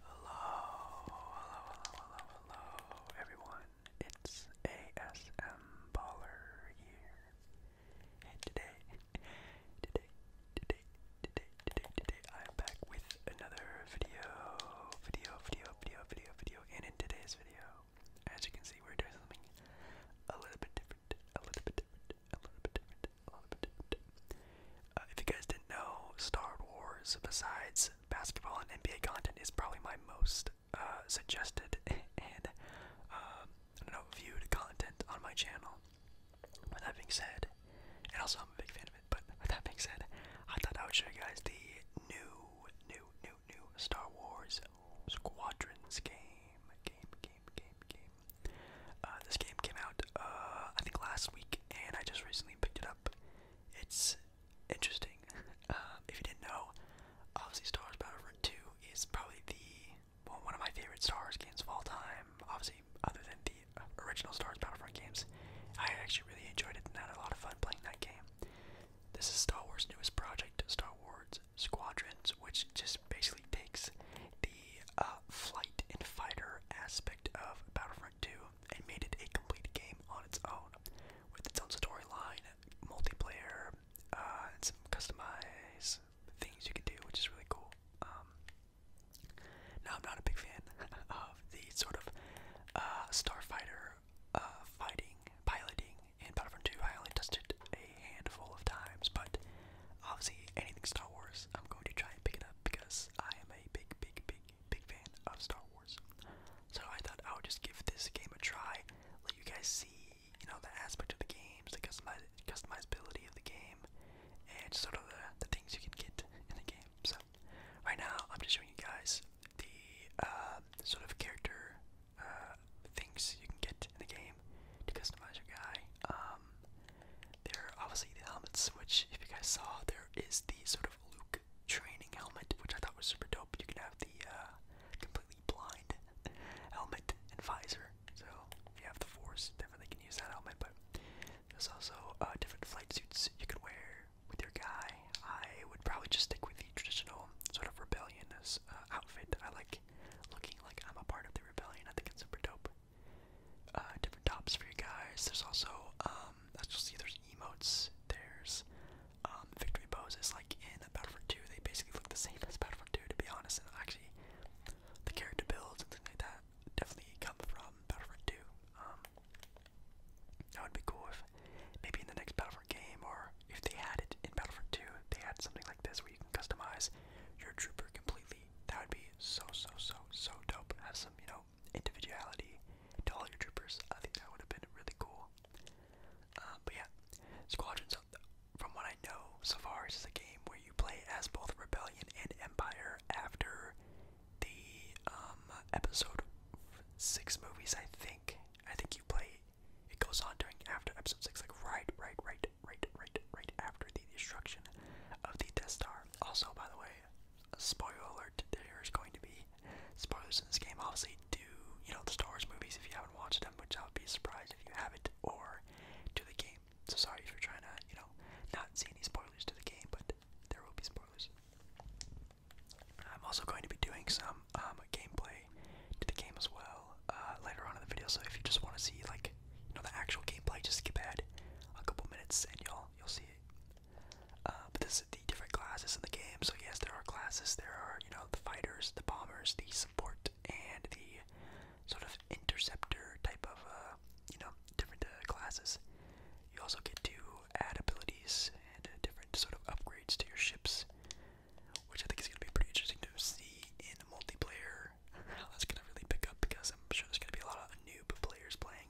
Hello, hello, hello, hello, hello, everyone. It's ASM Baller here. And today, today, today, today, today, today, I'm back with another video, video, video, video, video, video. And in today's video, as you can see, we're doing something a little bit different, a little bit different, a little bit different, a little bit different. Uh, if you guys didn't know, Star Wars, besides basketball and NBA content, is probably my most uh, suggested and um, I don't know viewed content on my channel. With that being said, and also I'm a big fan of it. But with that being said, I thought I would show you guys the new, new, new, new Star Wars Squadrons game, game, game, game, game. Uh, this game came out, I think last week, and I just recently picked it up. It's interesting. Uh, if you didn't know, obviously Star Wars Battlefront 2 is probably the well, one of my favorite Star Wars games of all time. Obviously, other than the original Star Wars Battlefront games, I actually really enjoyed it and had a lot of fun playing that game. This is Star Wars' newest project, Star Wars Squadrons, which just basically takes the uh, flight and fighter aspect of Battlefront 2 and made it a complete game on its own, with its own story line, multiplayer, uh, and some customized things you can do, which is really cool. Um, now, I'm not a big fan of the sort of uh, starfighter uh, fighting, piloting in Battlefront 2. I only tested a handful of times, but obviously anything Star Wars, I'm going to try and pick it up because I am a big, big, big big fan of Star Wars. So I thought I would just give this game a try, let you guys see, you know, the aspect of the games, the customiz customizability of the game, and sort of the, things you can get in the game. So right now I'm just showing you guys the uh, sort of character uh, things you can get in the game to customize your guy. Um, there are obviously the helmets, which if you guys saw, there is the sort of Luke training helmet, which I thought was super dope. You can have the uh, completely blind helmet and visor. So if you have the Force, definitely can use that helmet. But there's also uh, different flight suits you could wear with your guy. I would probably just stick with the traditional sort of rebellion uh, outfit. I like looking like I'm a part of the rebellion. I think it's super dope. Uh, different tops for you guys. There's also, um, as you'll see, there's emotes. There's um, victory poses, like in Battlefield 2. They basically look the same as Battlefield 2, to be honest. And actually, the character builds and things like that definitely come from Battlefield 2. Um, that would be cool if maybe in the next Battlefield game, or if they had it in Battlefield 2, they had something like this where you can customize your trooper completely. That would be so, so, so, so dope. Have some, you know, individuality to all your troopers. I think that would have been really cool. Um, but yeah, Squadrons, from what I know so far, is a game where you play as both Rebellion and Empire after the um, episode six movies. I think. I think you play. It goes on during after episode six, like right, right, right, right, right, right after the destruction of the Death Star. Also, by the way, spoiler alert, there is going to be spoilers in this game. Obviously, do you know the Star Wars movies if you haven't watched them, which I'll be surprised if you haven't, or to the game. So sorry for trying to, you know, not see any spoilers to the game, but there will be spoilers. I'm also going to be doing some um, gameplay to the game as well uh, later on in the video. So if you just want to see like you know the actual gameplay, just skip ahead a couple minutes and you'll you'll see it. Uh, but this the different classes in the game. So yes, there are classes. There are you know the fighters, the bombers, the support, and the sort of interceptor type of uh, you know different uh, classes. You also get to add abilities and different sort of upgrades to your ships, which I think is going to be pretty interesting to see in multiplayer. that's going to really pick up because I'm sure there's going to be a lot of noob players playing.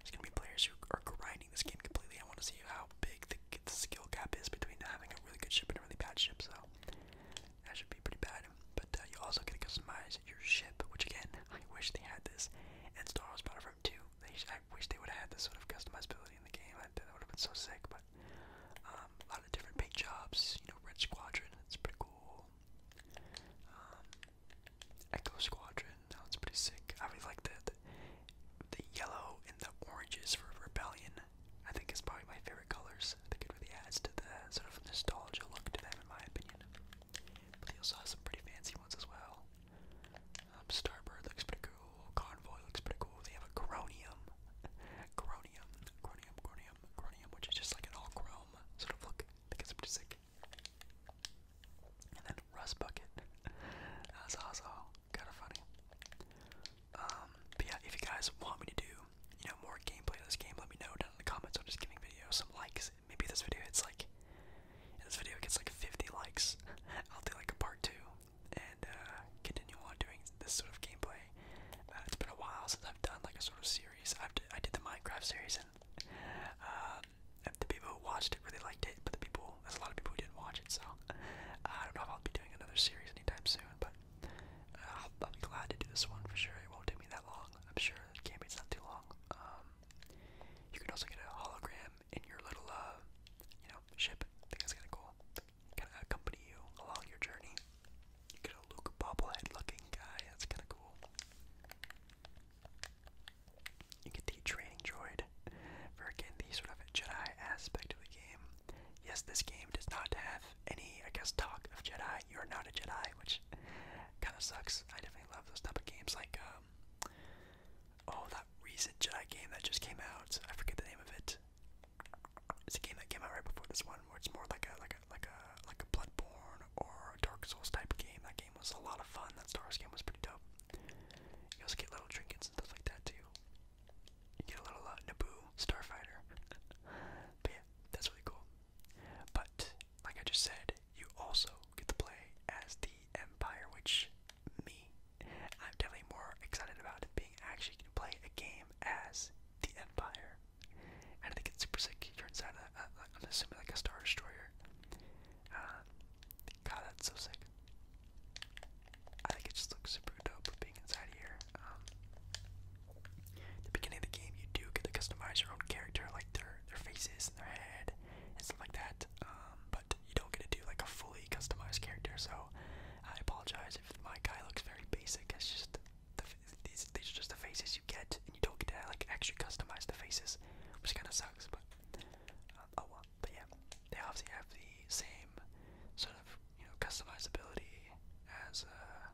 It's gonna be players who are grinding this game completely. I want to see how big the, skill gap is between having a really good ship and a really bad ship. So that should be pretty bad. But uh, you also get to customize your ship, which again, I wish they had this. And Star Wars Battlefront 2, I wish they would have had this sort of customizability in the game. I, that would have been so sick. But um, a lot of different paint jobs, you know, Red Squadron. It's pretty cool. Um, Echo Squadron. That pretty sick. I really like the, the yellow and the oranges for Rebellion. I think it's probably my favorite colors. I think it really adds to the sort of nostalgia look to them, in my opinion. But they also have some pretty fancy ones as well. Um, Starbird looks pretty cool. Convoy looks pretty cool. They have a Gronium, Gronium, Gronium, Gronium, Gronium, which is just like an all chrome sort of look. I think it's pretty sick. And then Russ Bucket. That's also kind of funny. Um, but yeah, if you guys want me to do, you know, more gameplay of this game, let me know down in the comments. I'm just giving video some likes. Maybe this video hits like, this video gets like 50 likes. I'll do like a part two and uh, continue on doing this sort of gameplay. Uh, it's been a while since I've done like a sort of series. I've d I did the Minecraft series and um, the people who watched it really liked it, but the people, a lot of people who didn't watch it, so uh, I don't know if I'll be doing another series anytime soon, but uh, I'll, be glad to do this one for sure. It won't take me that long. I'm sure the campaign's not too long. Um, you can also get a hologram in your little, uh, you know, ship. I think that's kind of cool. Kind of accompany you along your journey. You get a Luke bobblehead looking guy. That's kind of cool. You get the training droid for again the sort of Jedi aspect of the game. Yes, this game does not have any, I guess, talk of Jedi. You are not a Jedi, which kind of sucks. I definitely love those type of games, like um, oh, that recent Jedi game that just came out. I forget the name of it. It's a game that came out right before this one, where it's more like a like a like a like a Bloodborne or Dark Souls type of game. That game was a lot of fun. That Star Wars game was pretty dope. You also get little trinkets and stuff like that too. You get a little uh, Naboo starfighter. but yeah, that's really cool. But like I just said, you also get to play as the Empire, which me, I'm definitely more excited about being actually going to play a game as the Empire. And I think it's super sick. You're inside a, a, I'm assuming like a Star Destroyer, uh, God, that's so sick. I think it just looks super dope being inside here. Um, the beginning of the game, you do get to customize your own character, like their their faces and their head and stuff like that. Um, but you don't get to do like a fully customized character. So I apologize if my guy looks very basic. It's just these are just the faces you get, and you don't get to like actually customize the faces, which kind of sucks. But uh, oh well. But yeah, they obviously have the same sort of you know customizability as uh,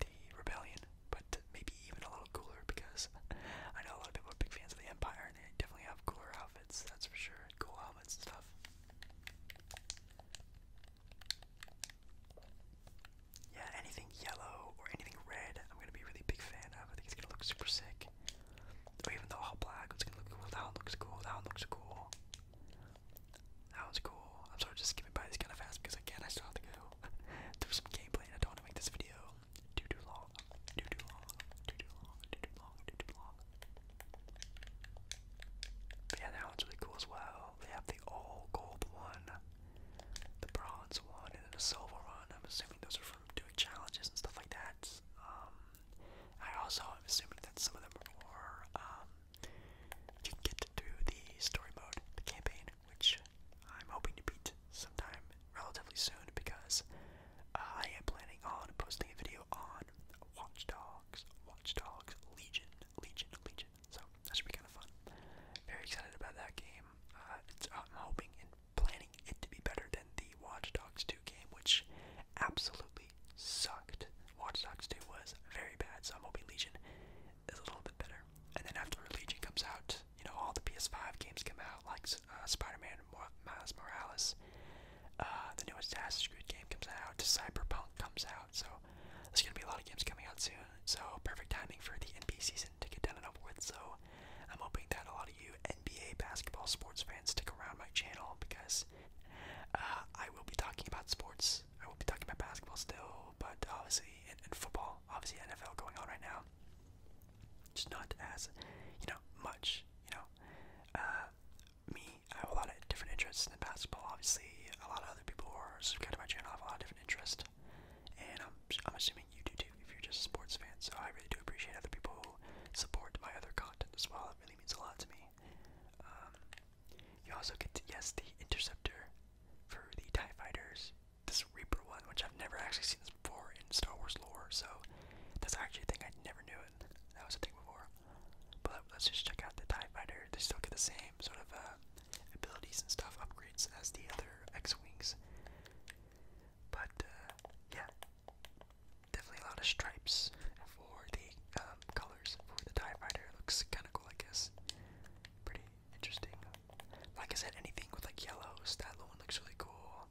the Rebellion, but maybe even a little cooler because I know a lot of people are big fans of the Empire, and they definitely have cooler outfits. That's for sure. Cool helmets and stuff yeah, anything yellow or anything red, I'm gonna be a really big fan of. I think it's gonna look super sick. Or oh, even the all black, That one looks cool. That one looks cool. That one's cool. I'm sorry, just skipping by this kind of fast because again, I still have to go through some gameplay, I don't want to make this video too too long, too too long, too too long, too too long, too too long. yeah, that one's really cool as well. They have the all gold one the bronze one, and then the silver one. I'm assuming those are from doing challenges and stuff like that. Um, I also am assuming that some of them are, more. Um, you can get to do the story mode, the campaign, which I'm hoping to beat sometime relatively soon because I am planning on posting a video on Watch Dogs, Watch Dogs, Legion, Legion, Legion. So that should be kind of fun. Very excited about that game. Uh, I'm hoping and planning it to be better than the Watch Dogs 2 game, which absolutely sucked. Watch Dogs 2 was very bad, so I'm hoping Legion is a little bit better. And then after Legion comes out, you know, all the PS5 games come out, like uh, Spider-Man Miles Morales. Uh, the newest Assassin's Creed game comes out. Cyberpunk comes out. So there's gonna be a lot of games coming out soon, so perfect timing for the NBA season to get done and over with. So I'm hoping that a lot of you NBA basketball sports fans stick around my channel because uh, I will be talking about sports. I will be talking about basketball still, but obviously in football, obviously NFL going on right now. Just not as you know much. You know, uh, me. I have a lot of different interests than basketball. Obviously, a lot of other people who are subscribed to my channel have a lot of different interests and I'm I'm assuming you do too if you're just a sports fan. So I really do appreciate other people who support my other content as well. It really means a lot to me. Um, you also get to, yes the interceptor for the Tie Fighters, this Reaper one, which I've never actually seen this before in Star Wars lore. So that's actually a thing I never knew it. That was a thing before. But let's just check out the Tie Fighter. They still get the same sort of uh, abilities and stuff upgrades as the other X-Wings. But, uh, yeah, definitely a lot of stripes for the um, colors for the TIE Fighter. looks kind of cool, I guess. Pretty interesting. Like I said, anything with like yellows, that one looks really cool.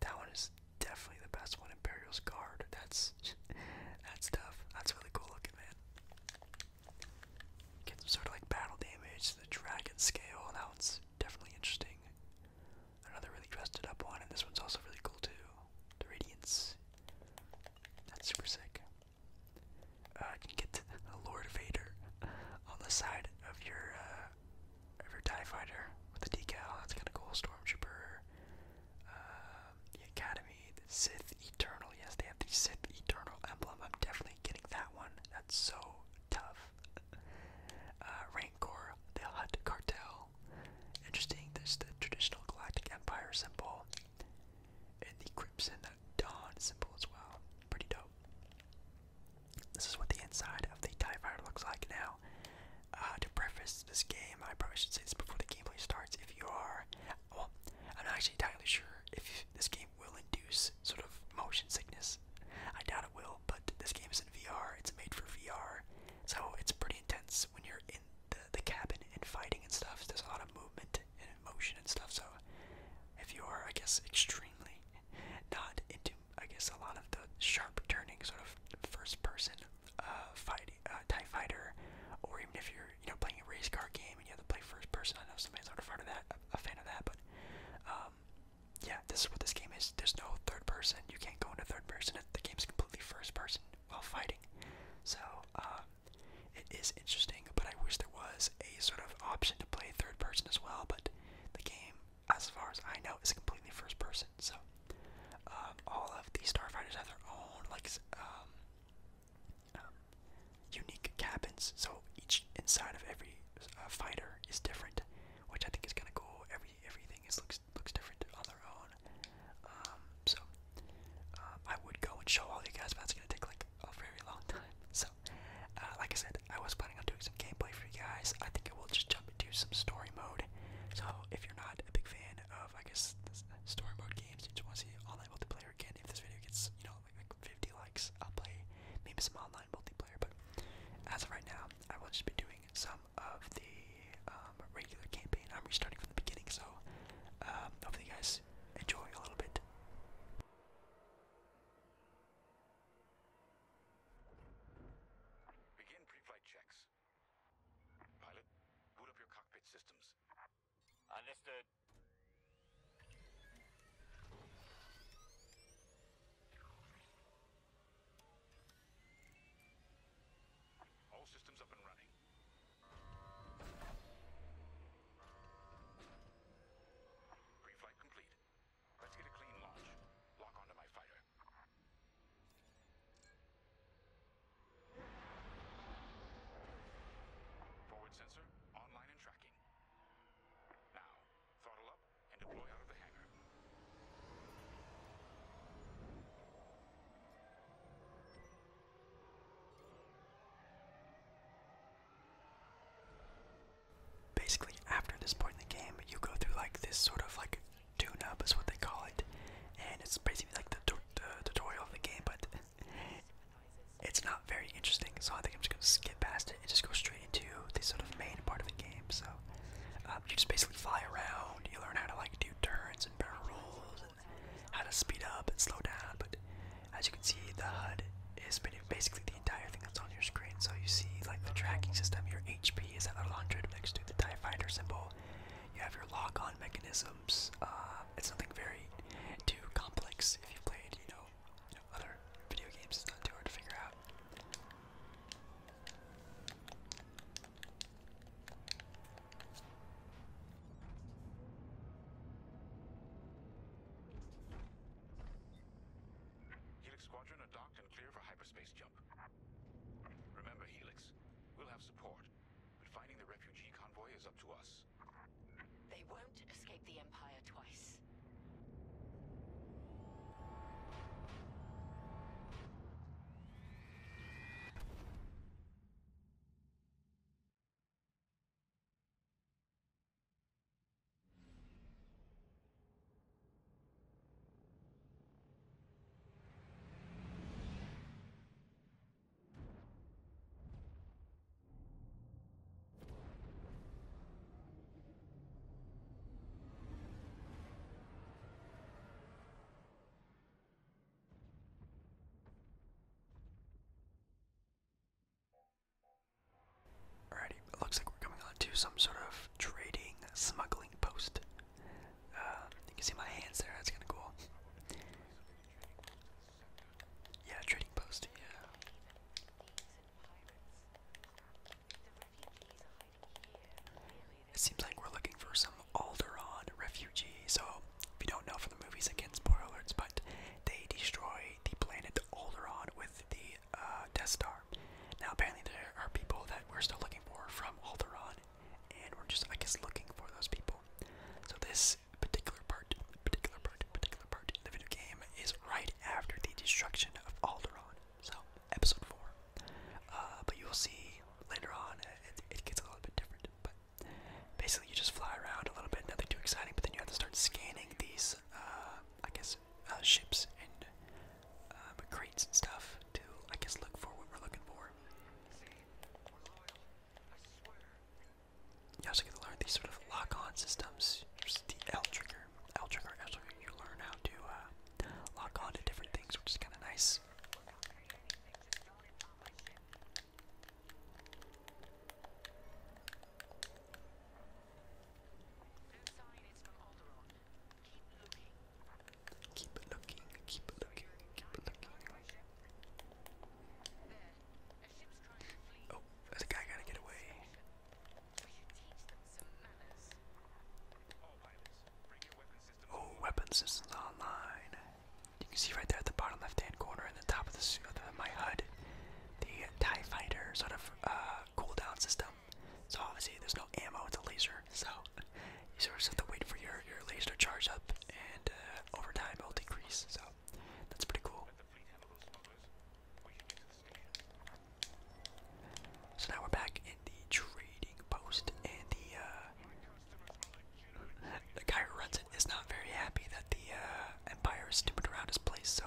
That one is definitely the best one. in Imperial's Guard. That's, that's tough. That's really cool looking, man. Get some sort of like battle damage to the dragon scale. Now it's definitely interesting. Another really dressed up one, and this one's also really cool too. The radiance. That's super sick. Uh, can get Lord Vader on the side of your uh, of your Tie Fighter with the decal. That's kind of cool. Stormtrooper. Uh, the Academy, Sith Eternal. Yes, they have the Sith Eternal emblem. I'm definitely getting that one so tough. Uh, Rancor, the Hutt Cartel. Interesting, there's the traditional Galactic Empire symbol. And the Crimson Dawn symbol as well. Pretty dope. This is what the inside of the TIE Fighter looks like now. Uh, to preface this game, I probably should say this before the gameplay starts. If you are, well, I'm not actually entirely sure if this game will induce sort of motion sickness. I doubt it will, but this game is in VR. It's made for VR, so it's pretty intense when you're in the, the cabin and fighting and stuff. There's a lot of movement and motion and stuff. So if you are, I guess, extremely not into, I guess, a lot of the sharp turning sort of first-person uh, fight, uh, Tie Fighter, or even if you're, you know, playing a race car game and you have to play first person. I know somebody's not a fan of that a fan of that, but um, yeah, this is what this game is. There's no third person. You can't go into third person. The game's completely first person while fighting. So um, it is interesting, but I wish there was a sort of option to play third person as well. But the game, as far as I know, is completely first person. So um, all of the starfighters have their own like um, unique cabins. So each inside of every uh, fighter is different, which I think is kind of cool. Every everything is looks looks different on their own. Um, so uh, I would go and show all you guys, but it's gonna take like a very long time. So uh, like I said, I was planning on doing some gameplay for you guys. I think I will just jump into some story mode. So if you're not a big fan of I guess story mode games, you just want to see online multiplayer again. If this video gets you know like 50 likes, I'll play maybe some online multiplayer. But as of right now, I will just be doing some of the um, regular campaign. I'm restarting from the beginning, so um, hopefully you guys enjoy a little bit. Begin pre checks. Pilot, boot up your cockpit systems. Understood. All systems up and running. Pre-flight complete. Let's get a clean launch. Lock onto my fighter. Forward sensor, online and tracking. Basically, after this point in the game, you go through like this sort of like tune-up is what they call it, and it's basically like the, the tutorial of the game, but it's not very interesting, so I think I'm just gonna skip past it and just go straight into the sort of main part of the game. So um, you just basically fly around, you learn how to like do turns and barrel rolls, and how to speed up and slow down. But as you can see, the HUD is basically the entire thing that's on your screen. So you see like the tracking system, your HP is at 100 next to the Tie Fighter symbol. You have your lock-on mechanisms. Uh, it's nothing very too complex if you've played, you know, other video games, it's not too hard to figure out. Helix Squadron are docked and clear for hyperspace jump. Remember, Helix, we'll have support, but finding the refugee convoy is up to us. They won't escape the Empire twice. Alrighty, it looks like we're coming on some sort of trading smuggling post. Uh, you can see my hands there, that's kind of cool. Yeah, trading post, yeah. It seems like we're looking for some Alderaan refugees. so if you don't know from the movies, again, spoiler but they destroy the planet Alderaan with the uh, Death Star. Now, apparently there are people that we're still looking for from Alderaan, and we're just, I guess, looking for those people. So this particular part, particular part, particular part in the video game is right after the destruction of Alderaan. So, episode 4. Uh, but you will see later on, uh, it, gets a little bit different. But basically, you just fly around a little bit, nothing too exciting, but then you have to start scanning these, uh, I guess, uh, ships and um, crates and stuff to, I guess, look for what we're looking for. You also get to learn these sort of lock-on systems. There's the L trigger. L trigger actually you learn how to uh, lock on to different things, which is kind of nice. Keep looking, keep looking, keep looking. Oh, the guy gotta get away. Oh, weapon systems online. You can see right there at the bottom left-hand corner and the top of the of my HUD, the Tie Fighter sort of uh, cooldown system. So obviously there's no ammo; it's a laser, so you sort of have to wait for your your laser to charge up, and uh, over time it'll decrease. So that's pretty cool. So now we're back in the trading post, and the uh, the guy who runs it is not very happy that the uh, empire is stupid around his place. So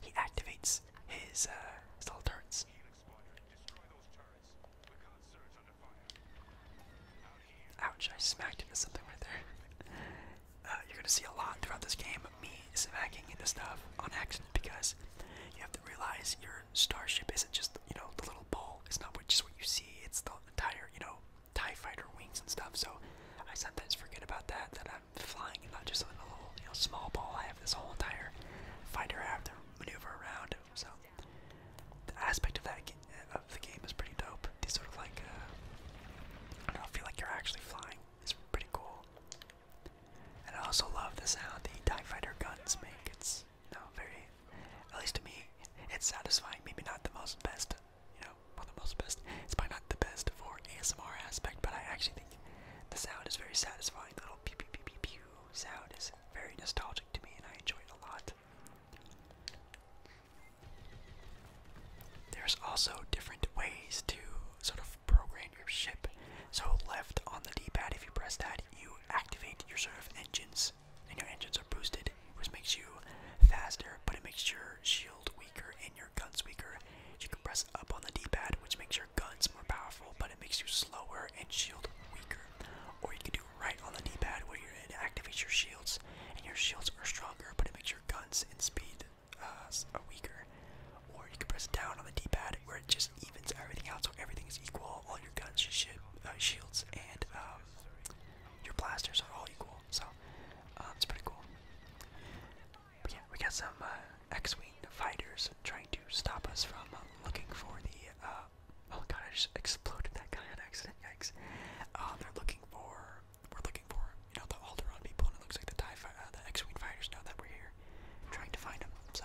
he activates his uh, his little turrets. Ouch! I smacked into something right there. Uh, you're going to see a lot throughout this game of me smacking into stuff on accident because you have to realize your starship isn't just, you know, the little ball. It's not just what you see. It's the entire, you know, TIE fighter wings and stuff. So I sometimes forget about that, that I'm flying and not just on a little, you know, small ball. I have this whole entire fighter I have to maneuver around. So the aspect of that uh, of the game is pretty pretty dope. These sort of like, uh, I don't know, feel like you're actually flying. It's pretty cool. And I also love the sound the TIE Fighter guns make. It's, you know, very, at least to me, it's satisfying. Maybe not the most best, you know, one of the most best. It's probably not the best for ASMR aspect, but I actually think the sound is very satisfying. The little pew pew pew pew pew sound is very nostalgic to me, and I enjoy it a lot. There's also different ways to sort of program your ship. So, left on the D pad, if you press that, you activate your sort of engines, and your engines are boosted, which makes you faster, but it makes your shield weaker and your guns weaker. You can press up on the D pad, which makes your guns more powerful, but it makes you slower and shield weaker. Or you can do right on the D pad, where you activate your shields, and your shields are stronger, but it makes your guns and speed uh, are weaker. Or you can press down on the D-pad where it just evens everything out so everything is equal. All your guns, your uh, shields, and um, your blasters are all equal. So uh, it's pretty cool. But yeah, we got some uh, X-wing fighters trying to stop us from looking for the. oh god, I just exploded that guy on accident. Yikes! they're looking for we're looking for. You know, the Alderaan people, and it looks like the uh, the X-Wing fighters know that we're here trying to find them, so.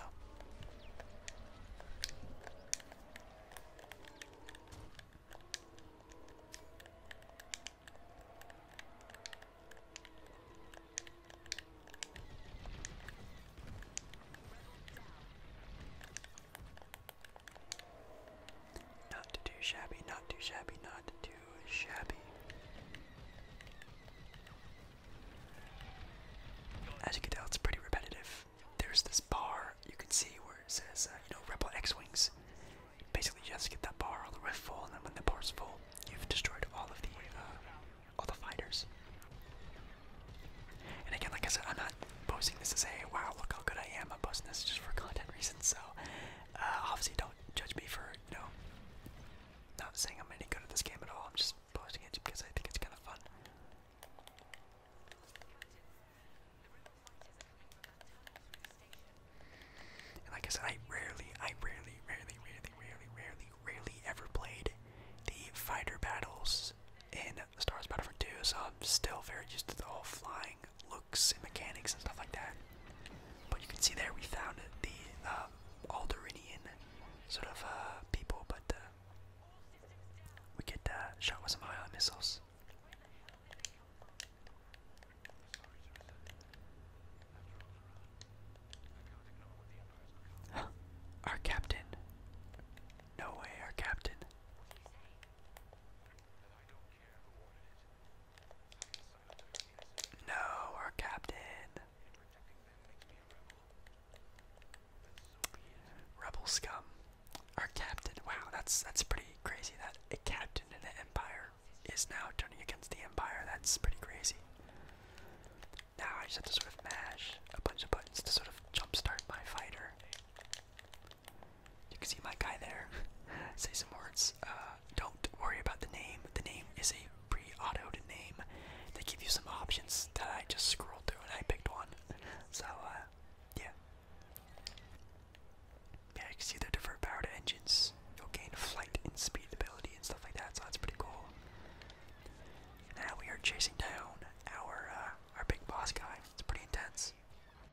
Not too shabby, not too shabby, not too shabby. As you can tell, it's pretty repetitive. There's this bar you can see where it says, uh, you know, Rebel X-Wings. Basically, you have to get that bar all the way full, and then when the bar's full, you've destroyed all of the, uh, all the fighters. And again, like I said, I'm not posting this to say, wow, look how good I am. I'm posting this just for content reasons, so uh, obviously, don't judge me for you know not saying I'm any good at this game at all. I'm just posting it because I think it's kind of fun. And like I said, I rarely, I rarely, rarely, rarely, rarely, rarely, rarely ever played the fighter battles in Star Wars Battlefront 2, so I'm still very used to the whole flying looks and mechanics and stuff like that. But you can see there we found the uh, Alderinian sort of uh, people, but uh, we get uh, shot with some high ion missiles. our captain. No way, our captain. No, our captain. Rebel scum. Our captain. Wow, that's that's pretty crazy that a captain in the Empire is now turning against the Empire. That's pretty crazy. Now I just have to sort of mash a bunch of buttons to sort of jumpstart my fighter. You can see my guy there. Say some words. Uh, don't worry about the name. The name is a pre-autoed name. They give you some options that I just scrolled through and I picked one. So, uh, yeah. Yeah, you can see the different power engines. You'll gain flight and speed ability and stuff like that, so that's pretty cool. Now we are chasing down our uh, our big boss guy. It's pretty intense.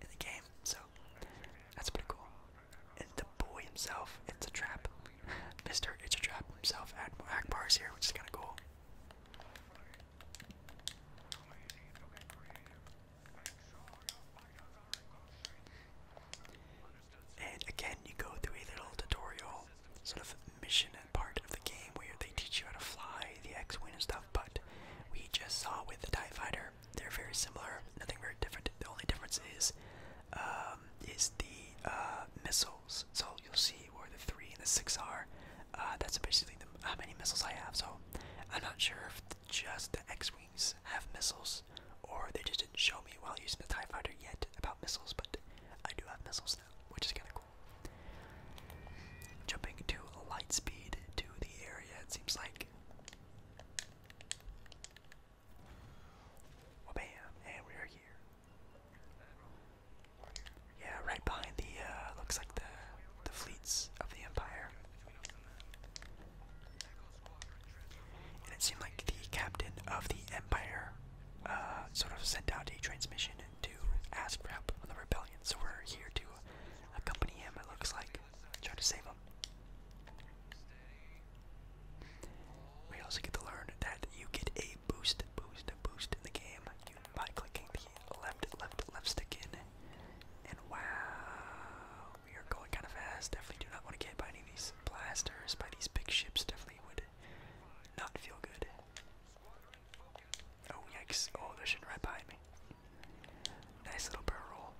in the game. So that's pretty cool. And the boy himself, it's a trap. Mr. It's a trap himself, Akbar bars here, which is kind of cool. And again, you go through a little tutorial sort of mission part of the game where they teach you how to fly the X-Wing and stuff but we just saw with the TIE Fighter, they're very similar, nothing very different. The only difference is um, is the uh, missiles. So you'll see where the three and the six are. Uh, that's basically how many missiles I have. So I'm not sure if just the X-wings have missiles, or they just didn't show me while using the Tie Fighter yet about missiles. But I do have missiles now, which is kind of cool. Jumping to light speed to the area, it seems like. bam, and we are here. Yeah, right behind the, uh, looks like the, the fleets of the Empire. And it seemed like the captain of the Empire uh, sort of sent out a transmission to ask for help on the rebellion. So we're here to accompany him, it looks like. Try to save him. We also get to learn that you get a boost, boost, boost in the game by clicking the left, left, left stick in. And wow, we are going kind of fast. Definitely do not want to get by any of these blasters, by these big ships. Definitely would not feel good. Oh, yikes. Oh, there's are shooting right behind me. Nice little barrel roll.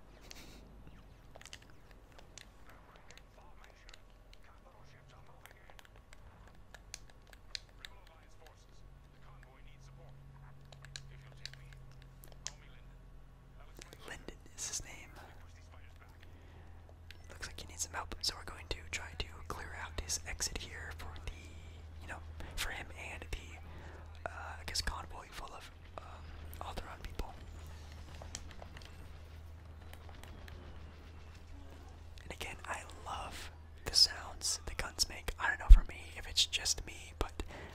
Linden is his name. Looks like he needs some help, so we're going to try to clear out his exit here for the you know, for him and the, uh, I guess, convoy full of um, all the wrong people. And again, I love the sounds the guns make. I don't know for me if it's just me, but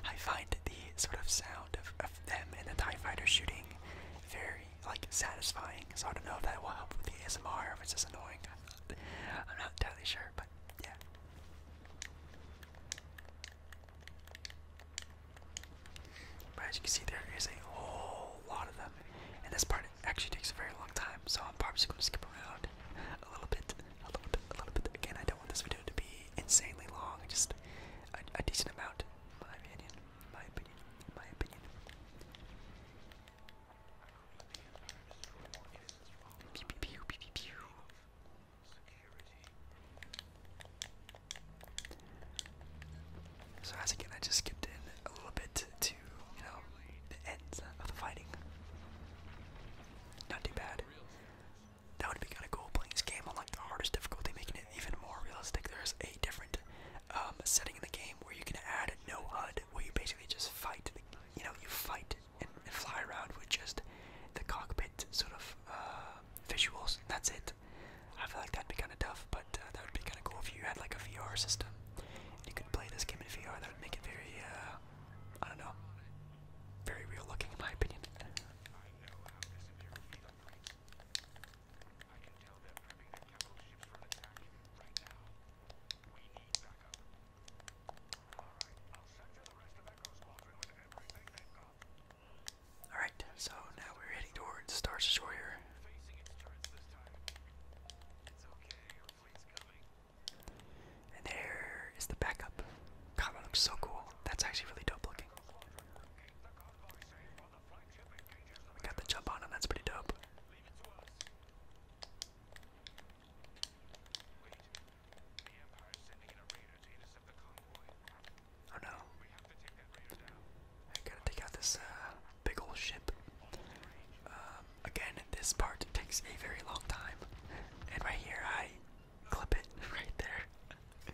I find the sort of sound of, them in the TIE fighter shooting very, like, satisfying. So I don't know if that will help with the ASMR, if it's just annoying. I'm not entirely sure, but yeah. But as you can see, there is a whole lot of them, and this part actually takes a very long time, so I'm probably going to skip around a little bit, a little bit, a little bit. Again, I don't want this video to be insanely long, just a, decent amount, in my opinion, my opinion, my opinion. pew, pew, pew, pew, pew. So as again, I just skipped in a little bit to, you know, the ends of the fighting. Not too bad. That would be kind of cool playing this game on like the hardest difficulty, making it even more realistic. There's a different um, setting in the game where you can add no HUD, where you basically just fight. you know, you fight and, fly around with just the cockpit sort of uh, visuals. That's it. I feel like that'd be kind of tough, but uh, that would be kind of cool if you had like a VR system. You could play this game in VR. That would make it very, uh, I don't know, very real looking, in my opinion. Alright, so now we're heading towards Star Destroyer. And there is the backup. God, that looks so cool. That's actually really dope looking. We got the jump on him, that's pretty dope. Oh no. I gotta take out this uh, big old ship. Um, again, this part takes a very long time. And right here, I clip it right there.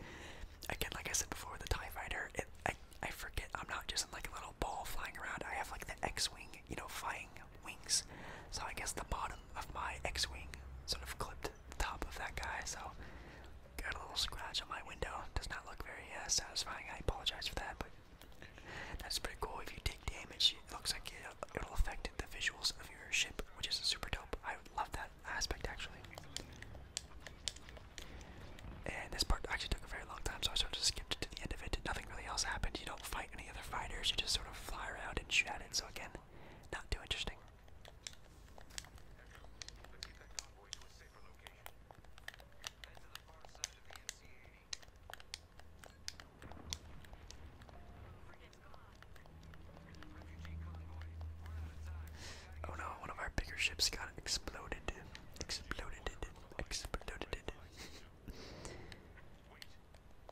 Again, like I said before, the TIE Fighter, I, I forget, I'm not just like a little ball flying around. I have like the X Wing, you know, flying wings. So I guess the bottom of my X-wing sort of clipped the top of that guy. So got a little scratch on my window. Does not look very uh, satisfying. I apologize for that, but that's pretty cool. If you take damage, it looks like it, will affect the visuals of your ship, which is super dope. I love that aspect actually. And this part actually took a very long time, so I sort of skipped to the end of it. Nothing really else happened. You don't fight any other fighters. You just sort of fly around and shoot at got so again, not too interesting. Oh no, one of our bigger ships got exploded. Exploded. Exploded.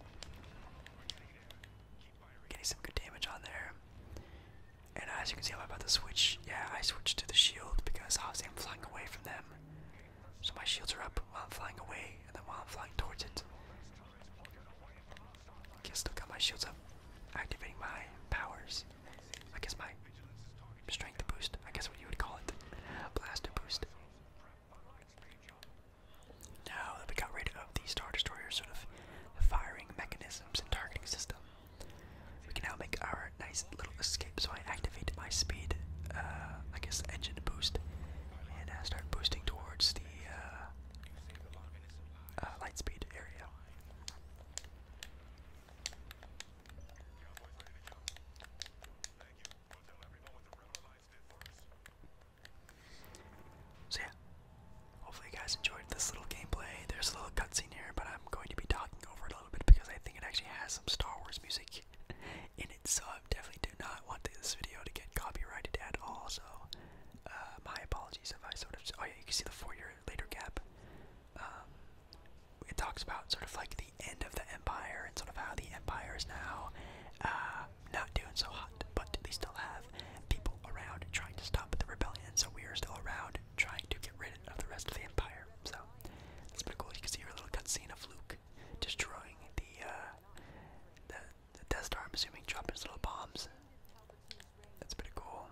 Getting some good damage on there. And as you can see, I'm about to switch. Yeah, I switched to the shield because obviously I'm flying away from them. So my shields are up while I'm flying away, and then while I'm flying towards it. Okay, still got my shields up. Activating my powers. I guess my strength boost. I guess what you would call it. Blaster boost. Now that we got rid of the Star Destroyer sort of firing mechanisms and targeting system, we can now make our nice little escape. So I activate my speed, uh, I guess, engine boost, and I uh, start boosting towards the uh, lightspeed area. So yeah, hopefully you guys enjoyed this little gameplay. There's a little cutscene here, but I'm going to be talking over it a little bit because I think it actually has some Star Wars music in it, so I definitely do not want this video to get copyrighted at all, so uh, my apologies if I sort of, oh yeah, you can see the four year later gap. Um, it talks about sort of like the end of the empire and sort of how the empire is now uh, not doing so hot, but they still have people around trying to stop the rebellion. So we are still around trying to get rid of the rest of the empire. So it's pretty cool. You can see your little cutscene of Luke destroying the uh, the, Death Star. assuming dropping his little bombs. That's pretty cool.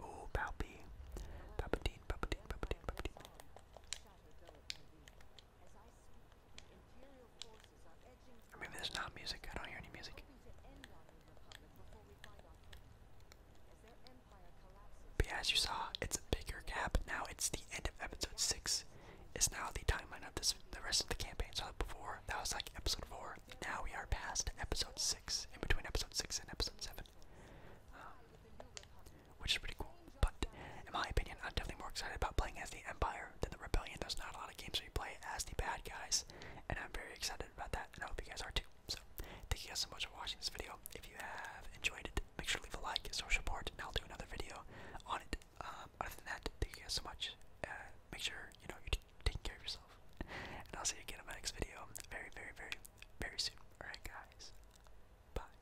Oh, Palpy. Palpatine, Palpatine, or maybe there's not music. I don't hear any music. But as you saw, it's a bigger gap. Now it's the end of episode six. It's now the timeline of this the rest of the campaign. So before that was like episode four. Now we are past episode six. In between episode six and episode seven. Um, which is pretty cool. But in my opinion, I'm definitely more excited about playing as the Empire than the Rebellion. There's not a lot of games where you play as the bad guys, and I'm very excited about that, and I hope you guys are too. So, thank you guys so much for watching this video. If you have enjoyed it, make sure to leave a like, social support, and I'll do another video on it. Um, other than that, thank you guys so much. Uh, make sure you know you're taking care of yourself, and I'll see you again in my next video very, very, very, very soon. Alright, guys. Bye.